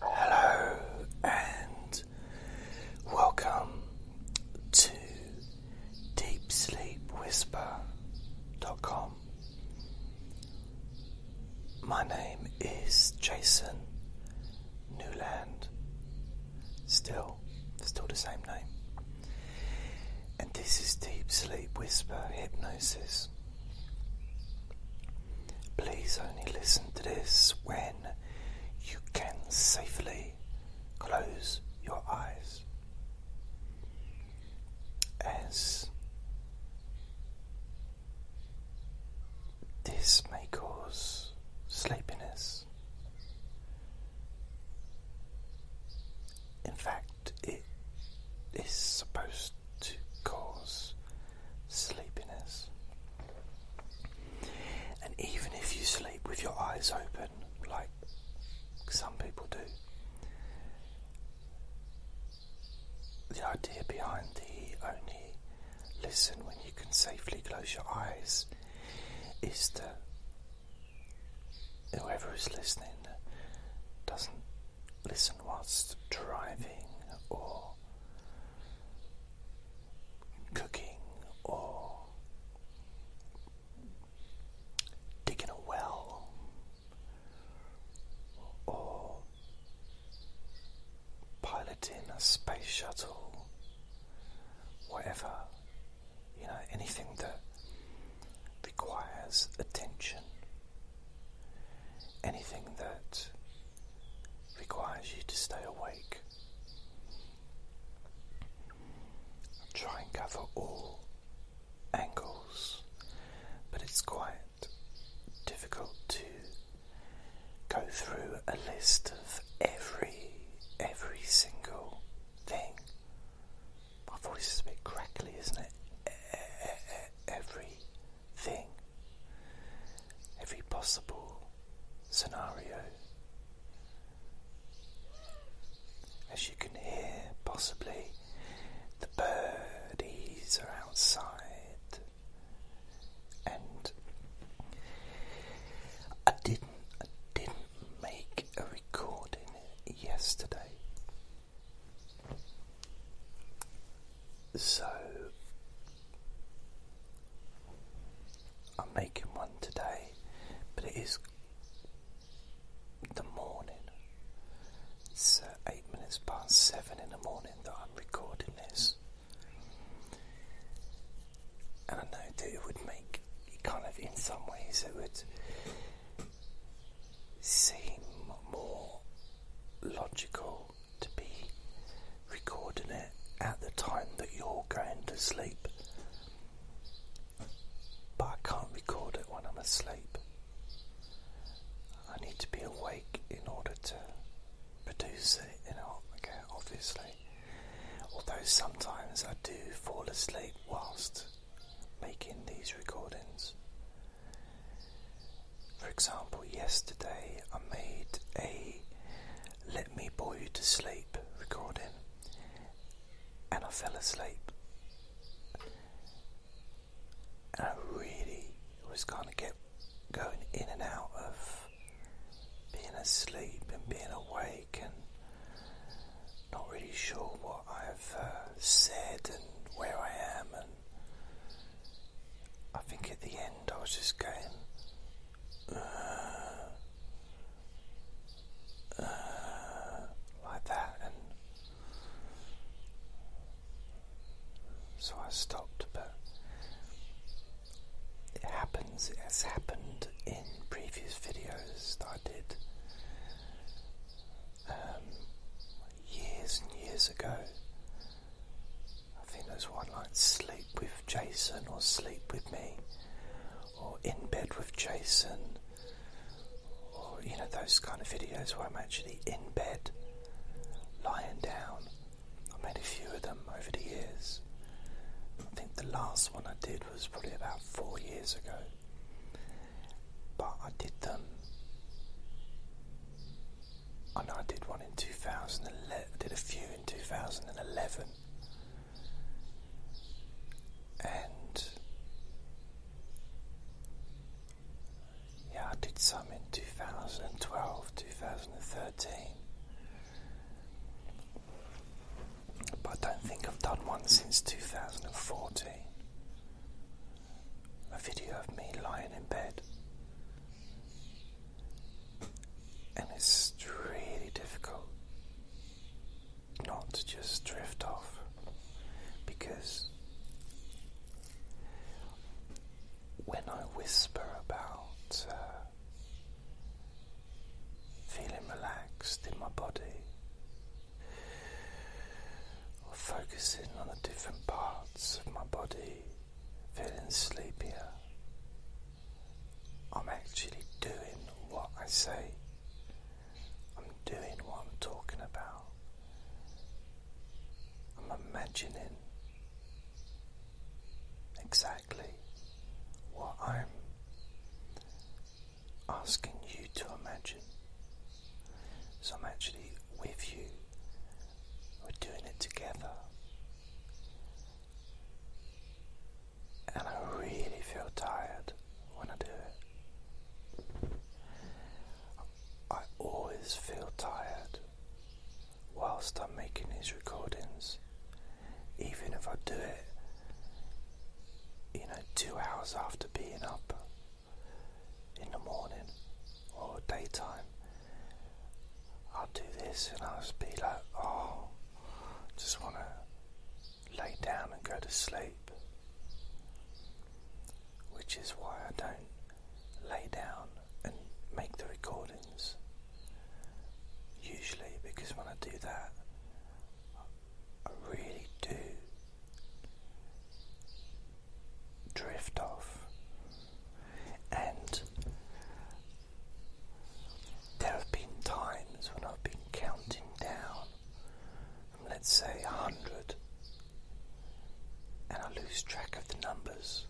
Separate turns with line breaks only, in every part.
Hello and welcome to DeepSleepWhisper.com. My name is Jason Newland. Still, still the same name. And this is Deep Sleep Whisper Hypnosis. Please only listen to this when you can safely close your eyes. As this may cause sleepiness. In fact, it is supposed to cause sleepiness. And even if you sleep with your eyes open, like some people do, the idea behind the only listen when you can safely close your eyes is to whoever is listening doesn't listen whilst driving or cooking or digging a well or piloting a space shuttle, whatever, you know, anything that requires attention anything that requires you to stay awake. Try and cover all angles, but it's quite difficult to go through a list of every every single thing. My voice is a bit crackly, isn't it? Every thing, every possible scenario. As you can hear, possibly the birdies are outside, and I didn't, I didn't make a recording yesterday. So I'm making one today, but it is the morning. It's uh, eight minutes past seven in the morning that I'm recording this, and I know that it would make it kind of in some ways it would seem more logical to be recording it at the time that you're going to sleep, but I can't record it when I'm asleep. I need to be awake in order to produce it, you know, obviously. Although sometimes I do fall asleep whilst making these recordings. For example, yesterday I made a Let Me Bore You to Sleep recording and I fell asleep. And I really was kind of get going in and out of being asleep and being awake and not really sure what I've uh, said and where I am and I think at the end I was just going. Uh, uh, like that, and so I stopped. But it happens, as happened in previous videos that I did um, years and years ago. I think there's one like sleep with Jason or sleep with me or in bed with Jason or you know those kind of videos where I'm actually in bed lying down. I made a few of them over the years. I think the last one I did was probably about four years ago. But I did them I know I did one in 2011, I did a few in 2011, and yeah, I did some in 2012, 2013, but I don't think I've done one since 2014. A video of me lying in bed and it's really difficult not to just drift off because when I whisper about uh, feeling relaxed in my body or focusing on the different parts of my body feeling sleepier. I'm actually doing what I say. I'm doing what I'm talking about. I'm imagining exactly what I'm asking you to imagine. So I'm actually with you we're doing it together. And I really feel tired when I do it. I always feel tired whilst I'm making these recordings, even if I do it, you know, two hours after being up in the morning or daytime. I'll do this and I'll just be like, oh, just want to lay down and go to sleep. Which is why I don't lay down and make the recordings. Usually, because when I do that, I really do drift off and there have been times when I've been counting down, let's say a hundred, and I lose track of the numbers.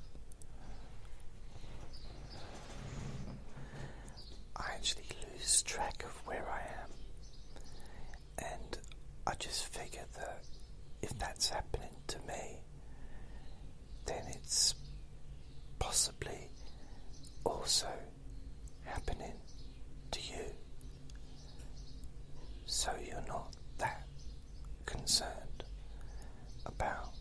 I actually lose track of where I am, and I just figure that if that's happening to me, then it's possibly also happening to you. So you're not that concerned about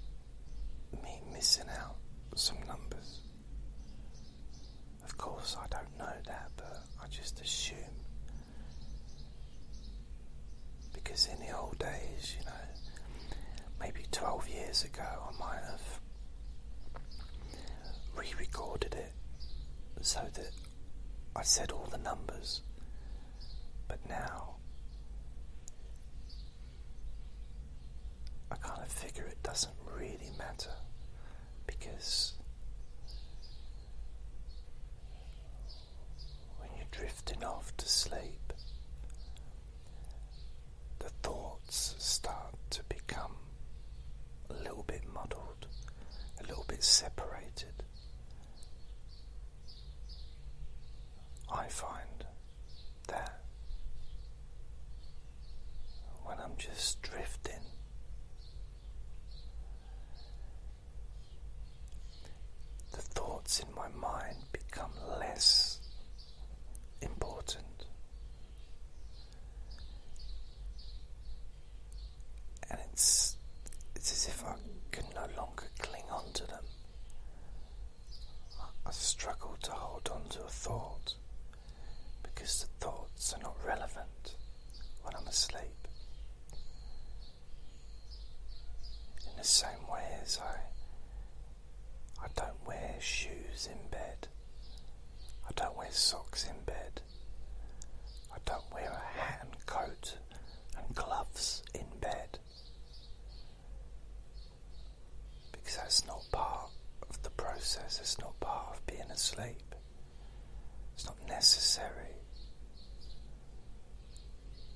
me missing out some numbers. Of course, I don't know that, but I just assume because in the old days, you know, maybe 12 years ago, I might have re recorded it so that I said all the numbers. But now, I kind of figure it doesn't really matter because when you're drifting off to sleep, the thoughts start to become a little bit muddled, a little bit separated. I find that when I'm just drifting, the thoughts in my mind become less important, and it's it's as if I can no longer cling on to them. I struggle to hold on to a thought because the thoughts are not relevant when I'm asleep. In the same way as I I don't wear shoes in bed. I don't wear socks in bed. I don't wear a hat and coat and gloves in bed. Because that's not part of the process, it's not part of being asleep. It's not necessary.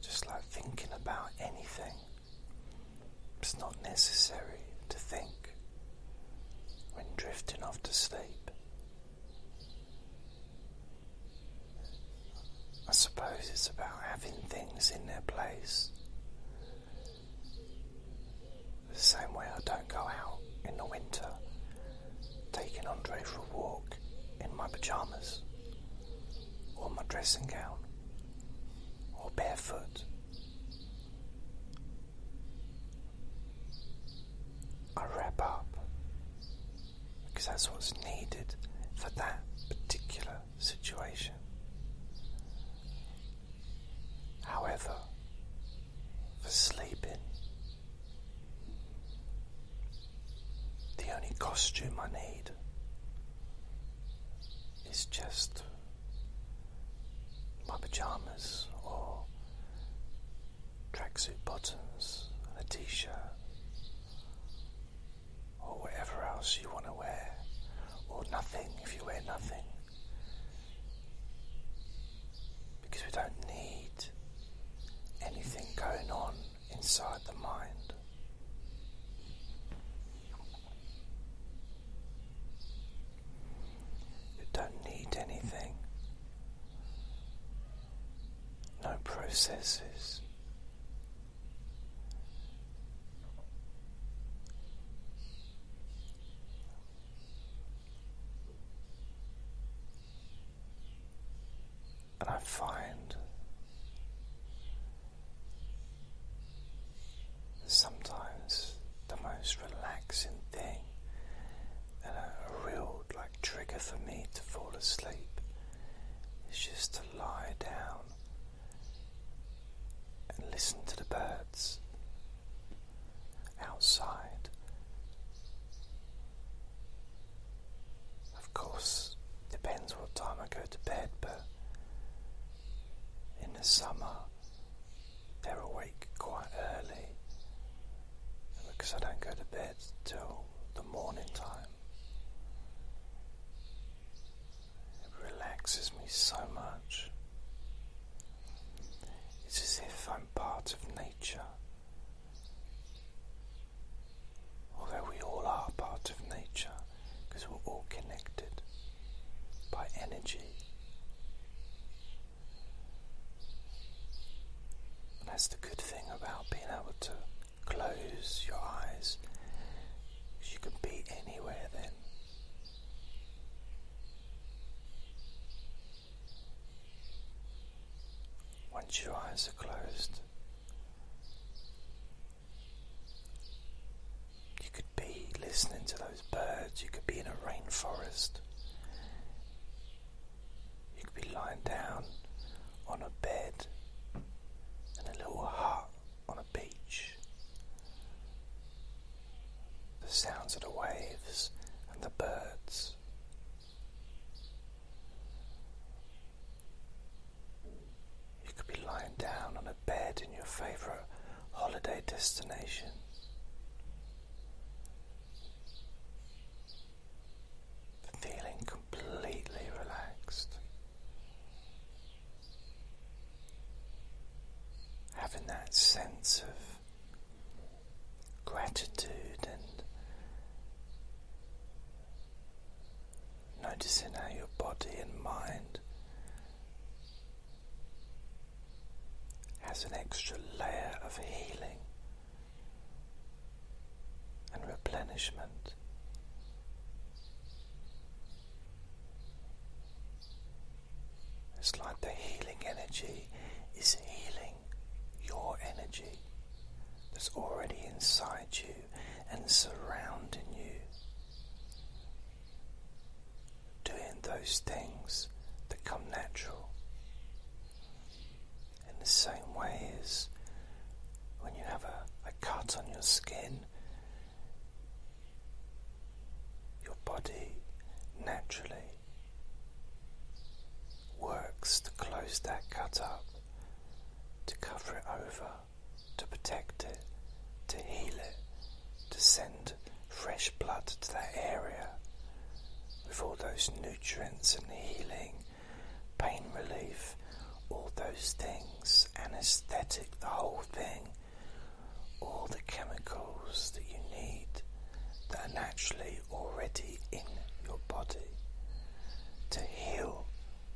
Just like thinking about anything, it's not necessary to think when drifting off to sleep. I suppose it's about having things in their place. The same way I don't go out in the winter taking Andre for a walk in my pajamas, or my dressing gown, or barefoot. I wrap up because that's what's needed for that particular situation. However, for sleeping, the only costume I need is just my pajamas or tracksuit bottoms and a t shirt or whatever else you want to wear, or nothing if you wear nothing. Because we don't need anything going on inside the mind. You don't need anything, no processes. And I find sometimes the most relaxing thing and a real like trigger for me to fall asleep is just to lie down and listen to the birds outside. Of course, depends what time I go to bed, but in the summer they're awake quite early because I don't go to bed till the morning time. It relaxes me so much. It's as if I'm part of nature Although we all are part of nature because we're all connected by energy. And that's the good thing about being able to close your eyes. You can be anywhere then. Once your eyes are closed, you could be listening to those birds, you could be in a rainforest, you could be lying down on a bed in a little hut on a beach. The sounds of the waves and the birds. You could be lying down on a bed in your favourite holiday destination. Feeling completely relaxed. Having that sense of gratitude and Noticing how your body and mind has an extra layer of healing and replenishment. It's like the healing energy is healing your energy that's already inside you and surrounding you. Doing those things that come natural. In the same way as when you have a, a cut on your skin, your body naturally works to close that cut up to cover it over, to protect it, to heal it, to send fresh blood to that area with all those nutrients and healing, pain relief, all those things, anesthetic, the whole thing, all the chemicals that you need that are naturally already in your body to heal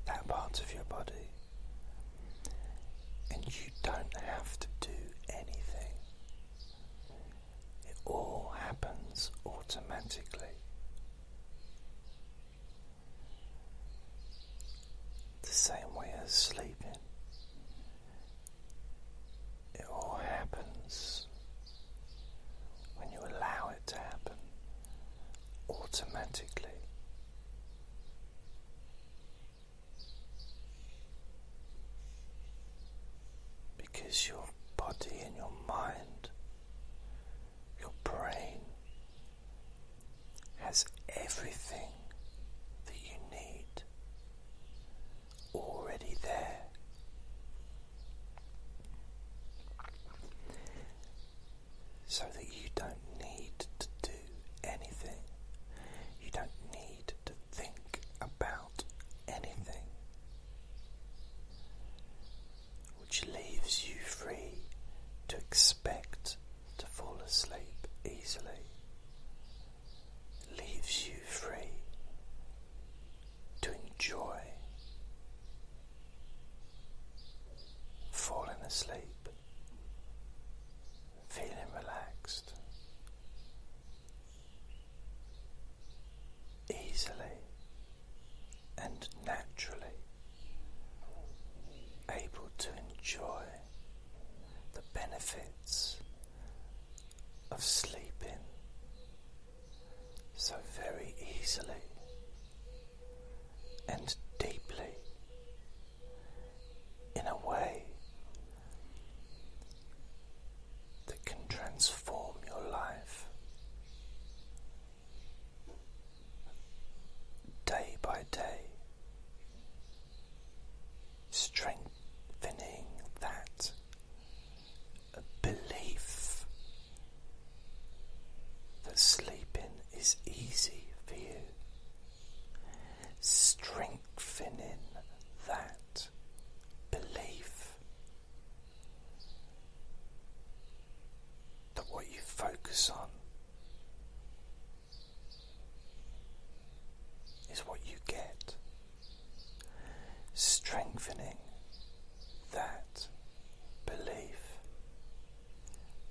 that part of your body. And you don't have to do anything, it all happens automatically. The same way as sleeping, it all happens when you allow it to happen automatically. Because your body and your mind, your brain, has everything that you need already there so that you don't need to do anything. You don't need to think about anything, which leaves you free to expect to fall asleep easily, leaves you free to enjoy falling asleep, feeling relaxed easily and naturally able to enjoy the benefits of sleeping so very easily and deeply in a way that can transform your life day by day, strengthening that a belief that sleeping is easy for you, strengthening that belief that what you focus on. Is what you get, strengthening that belief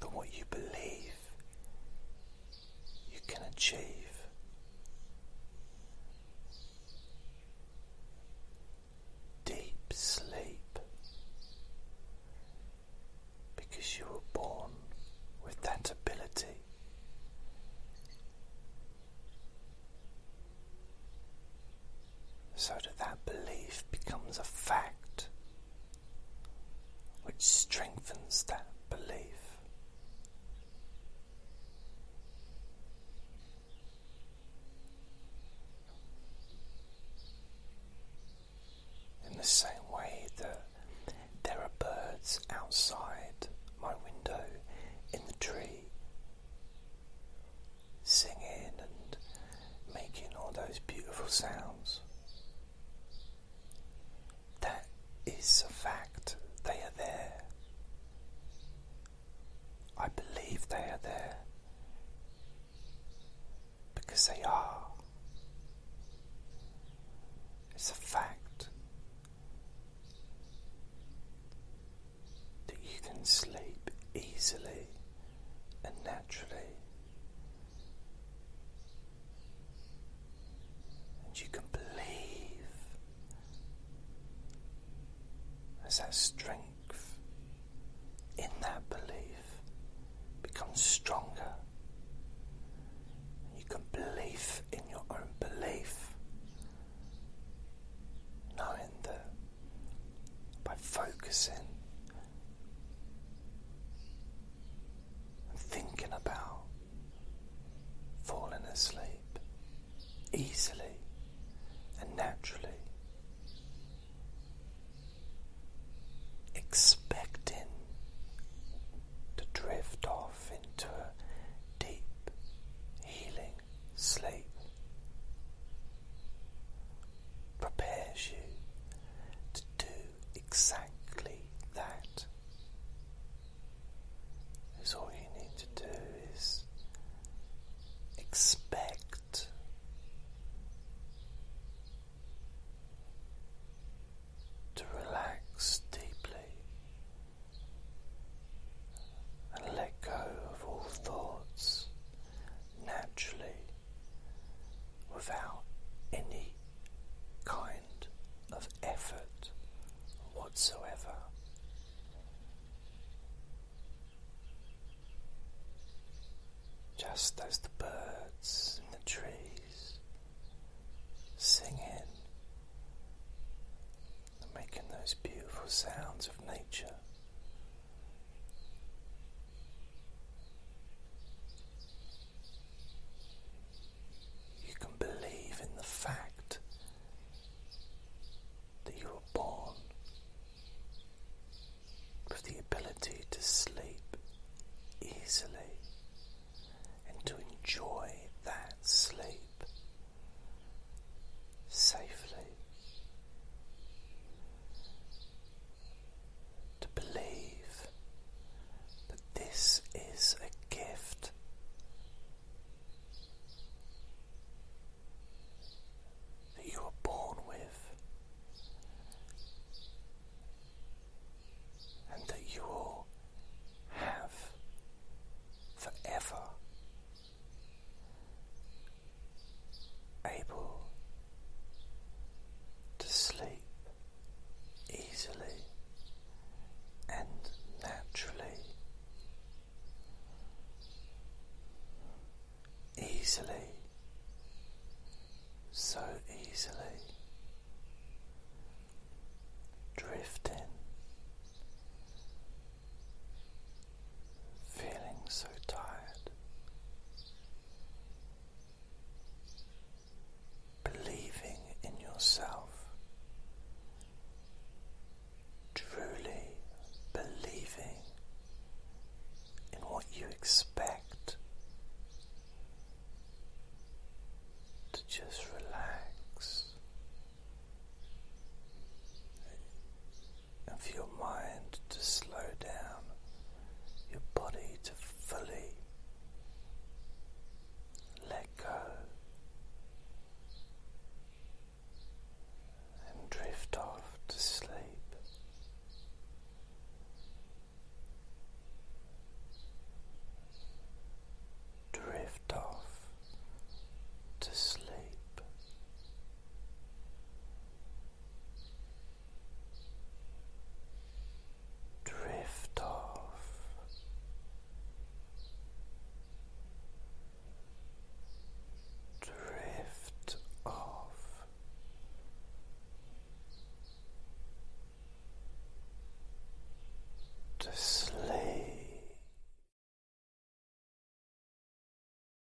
that what you believe you can achieve. Deep sleep because you were born with that ability so that that belief becomes a fact which strengthens that belief. In the same way that there are birds outside my window in the tree singing and making all those beautiful sounds. That is a fact, they are there. I believe they are there because they are. It's a fact that you can sleep easily and naturally. And you can believe as that strength in that belief becomes stronger. You can believe in your own belief, knowing mind by focusing and thinking about falling asleep easily and naturally, expecting to drift off into a deep healing sleep prepares you to do exactly that. Because all you need to do is expect. To relax deeply and let go of all thoughts naturally without any kind of effort whatsoever. Just as the birds in the trees singing and making those beautiful sounds of nature you can believe in the fact that you were born with the ability to sleep easily and to enjoy that sleep safely to believe that this is a gift. That you were born with, and that you will have forever, able to sleep easily and naturally. Easily, so easily, drift in feeling so tired. Believing in yourself, truly believing in what you expect to just relax and for your mind to slow down, your body to fully let go and drift off to sleep. Drift off to sleep drift off drift off to sleep